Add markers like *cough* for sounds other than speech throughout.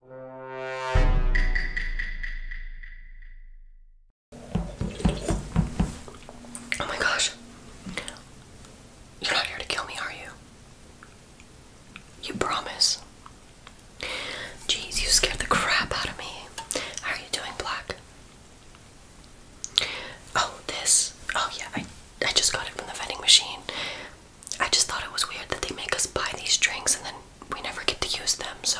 Oh my gosh. You're not here to kill me, are you? You promise. Jeez, you scared the crap out of me. How are you doing, Black? Oh, this. Oh yeah, I I just got it from the vending machine. I just thought it was weird that they make us buy these drinks and then we never get to use them, so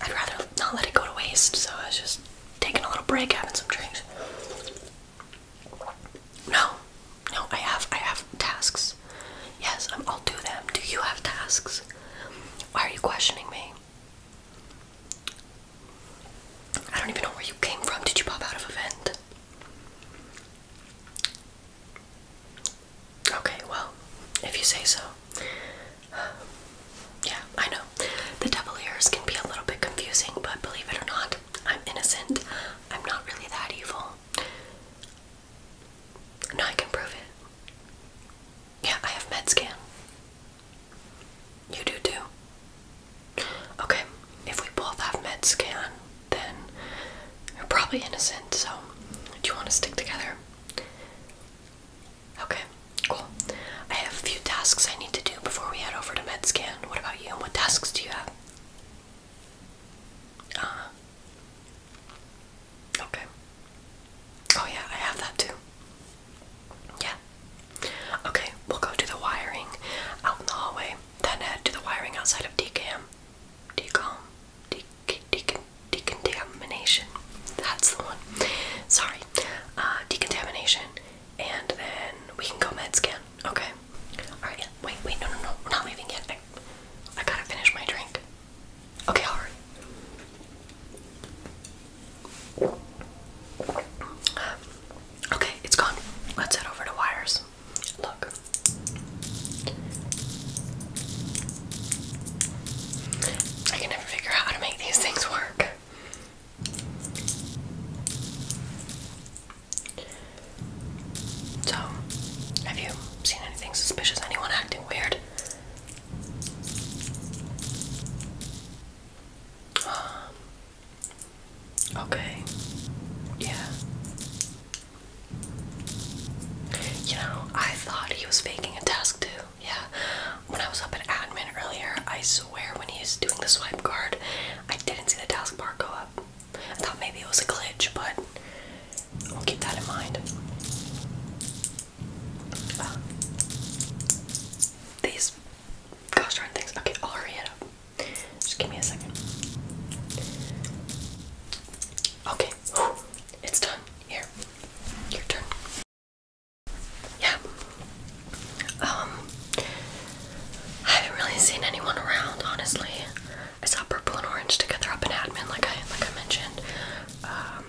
I'd rather not let it go to waste. So I was just taking a little break, having some drinks. No, no, I have I have tasks. Yes, I'm, um, I'll do them. Do you have tasks? Why are you questioning me? I don't even know where you came from. Did you pop out of a vent? Okay, well, if you say so. *sighs* yeah, I know. The devil ears can be a little bit confusing, but believe it or not, I'm innocent. I'm not really that evil. No, I can prove it. Yeah, I have med scan. You do too. Okay, if we both have med scan, then you're probably innocent, so do you want to stick together? Okay, cool. I have a few tasks I need to do before we head over to MedScan. What about you? What tasks do you have? Uh, okay. Oh, yeah, I have that too. Yeah. Okay, we'll go do the wiring out in the hallway, then head to the wiring outside of DKM decom de de decontamination. That's the one. Sorry. Uh, decontamination. And then we can go med scan. Okay. Alright, yeah. Wait, wait, no, no, no. We're not leaving yet. I, gotta finish my drink. Okay, alright. okay, it's gone. Let's head over to Wires. Look. I can never figure out how to make these things work. So, have you seen anything suspicious? Anyone acting weird? *gasps* okay. Yeah. You know, I thought he was faking a task too. Yeah. When I was up at admin earlier, I swear when he was doing the swipe card, I didn't see the task bar go up. I thought maybe it was a glitch, but we'll keep that in mind. Uh, these gosh darn things. Okay, I'll hurry it up. Just give me a second. Okay, it's done. Here, your turn. Yeah. Um, I haven't really seen anyone around, honestly. I saw purple and orange together up in admin, like I like I mentioned. Um,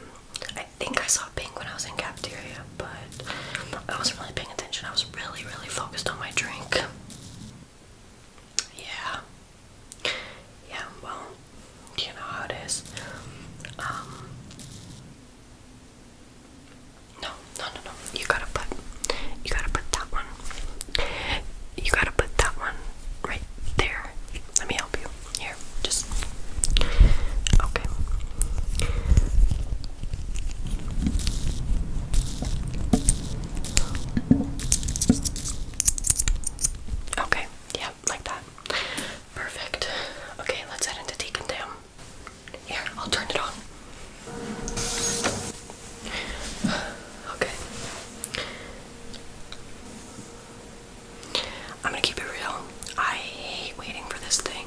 I think I saw pink when I was in cafeteria, but I wasn't really paying attention. I was really, really focused on my drink yeah. Yeah, well, you know how it is. Um, no, no no no. You gotta put you gotta put that one. You gotta put that one right there. Let me help you. Here, just okay. Okay, yeah, like that. Perfect. Okay, let's head into Deacon Here, I'll turn it on. *sighs* Okay. I'm gonna keep it real. I hate waiting for this thing.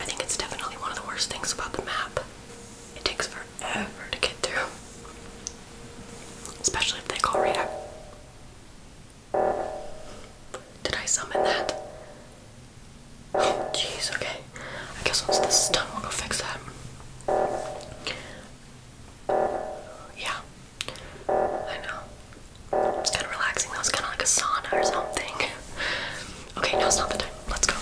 I think it's definitely one of the worst things about the map. It takes forever forever to get through. Especially if they call right Did I summon that? Oh, jeez, okay. I guess once this is done, we'll go fix that. Yeah, I know. It's kind of relaxing though. It's kind of like a sauna or something. Okay, it's not the time. Let's go.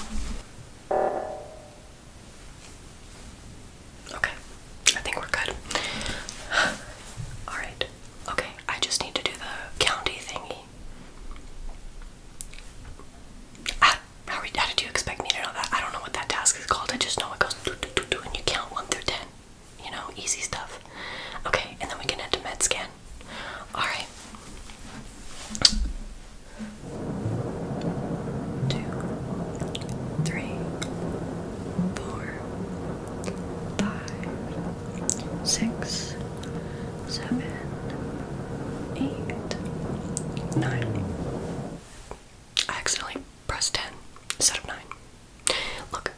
Okay, I think we're good. *sighs* Alright, okay, I just need to do the county thingy. I, ah, how, are, how did you expect me to know that? I don't know what that task is called. I just know it goes do do do do and you count 1 through 10. You know, easy stuff. Okay, and then we can head to med scan. Alright two, three, four, five, six, seven, eight, nine. I accidentally pressed 10 instead of 9. Look,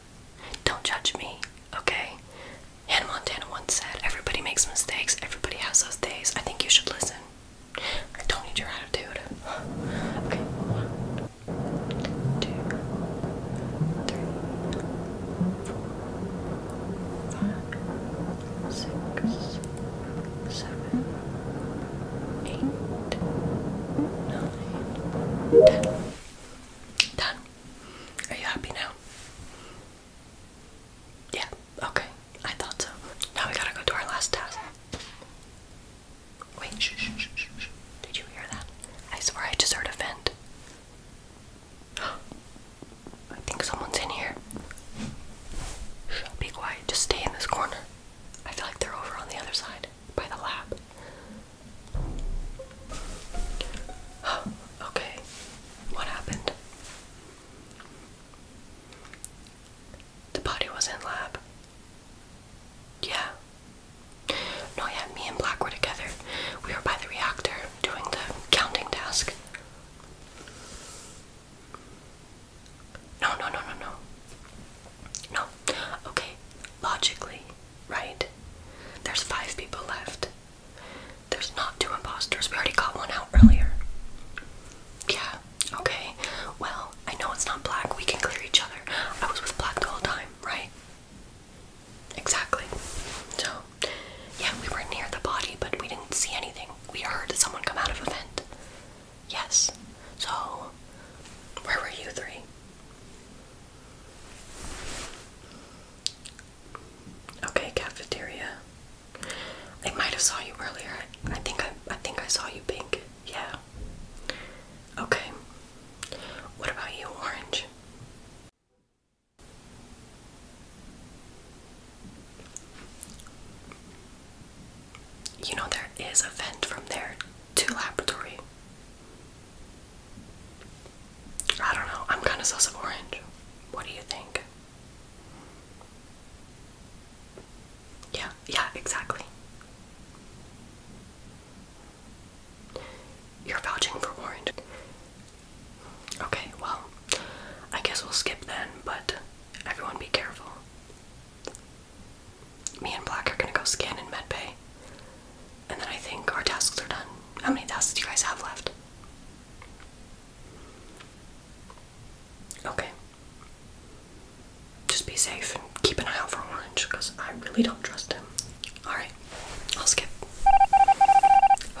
don't judge me, okay? Hannah Montana once said, Everybody makes mistakes, everybody has those days. I think you should listen. I don't need your attitude. Okay, one, two, three, four, five, six, seven, eight, nine, ten. Done. Are you happy now? Yeah, okay. I thought so. Now we gotta go to our last test. Wait, shh, shh, shh, shh, Did you hear that? I swear I just heard a vent. *gasps* I think someone's in here. be quiet. Just stay in this corner. I feel like they're over on the other side, by the lab. *gasps* okay, what happened? The body was in lab. Yeah. No, yeah, me and Black were together. We were by the reactor doing the counting task. No, no, no, no, no. No. Okay, logically, right? There's five people left. There's not two imposters. We already got one out earlier. Yeah. Okay, well, I know it's not black. We can clear each other. I was with black the whole time, right? Exactly. So, yeah, we were near the body, but we didn't see anything. We heard someone come out of a vent. Yes. So, where were you three? Okay, cafeteria. I might have saw you earlier. I think I I think I saw you pink. Yeah. Okay. What about you, orange? You know there is a vent from there to laboratory. I don't know. I'm kind of sus of orange. What do you think? Yeah, yeah, exactly. You're vouching for orange. Okay, well, I guess we'll skip then, but everyone be careful. Me and Black are gonna go scan in medbay. And then I think our tasks are done. How many tasks do you guys have left? Okay. Just be safe and keep an eye out for Orange because I really don't trust him. Alright, I'll skip. *gasps*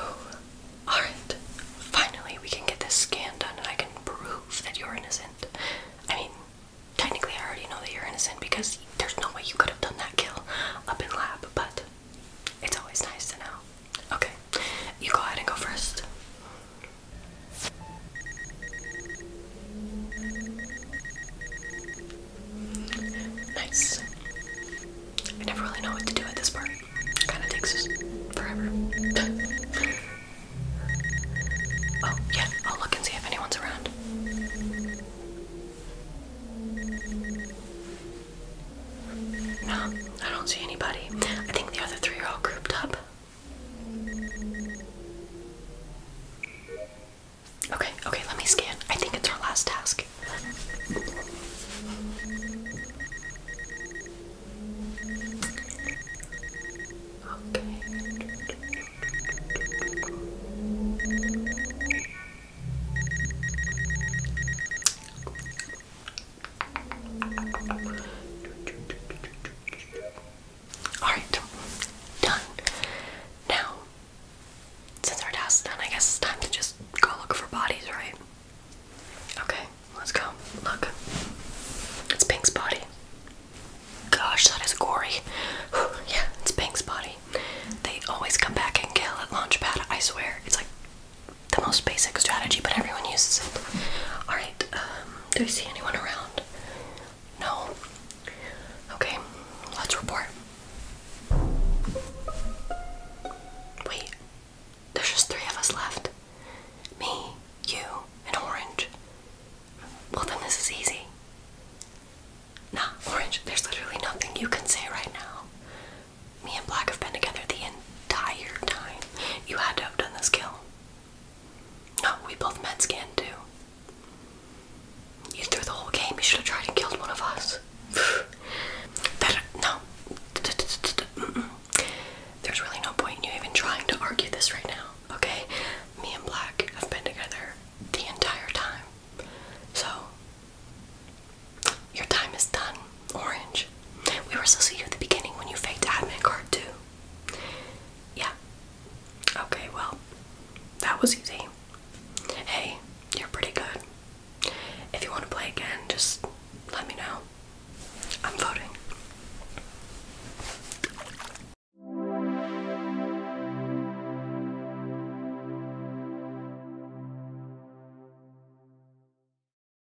Alright, finally we can get this scan done and I can prove that you're innocent. I mean, technically I already know that you're innocent because there's no way you could have done that kill up in lab, but it's always nice to know. Okay, you go ahead and go first. Nice. I never really know what to do at this part. It Kind of takes us forever. *laughs* oh, yeah, I'll look and see if anyone's around. No, I don't see anybody. I think the other three are all grouped up. Okay, okay, let me scan. I think it's our last task. Okay. Alright, done. Now, since our task's done, I guess it's time to just go look for bodies, right? Okay, let's go. Look. It's Pink's body. Gosh, that is gory. yeah, it's Pink's body. They always come back and kill at Launchpad, I swear. It's like the most basic strategy, but everyone uses it. Alright, um, do we see anyone around? No? Okay, let's report. Wait, there's just three of us left me, you, and Orange. Well, then this is easy. Nah, Orange, there's literally nothing you can say right now. Me and Black have been together the entire time. You had to have done this kill. No, we both met scan too. You threw the whole game. You should have tried and killed one of us. *sighs* that, no. There's really no point in you even trying to argue this right now, okay? Me and Black have been together the entire time. So, your time is done orange. We were supposed to you at the beginning when you faked admin card too. Yeah. Okay, well, that was easy. Hey, you're pretty good. If you want to play again, just let me know. I'm voting.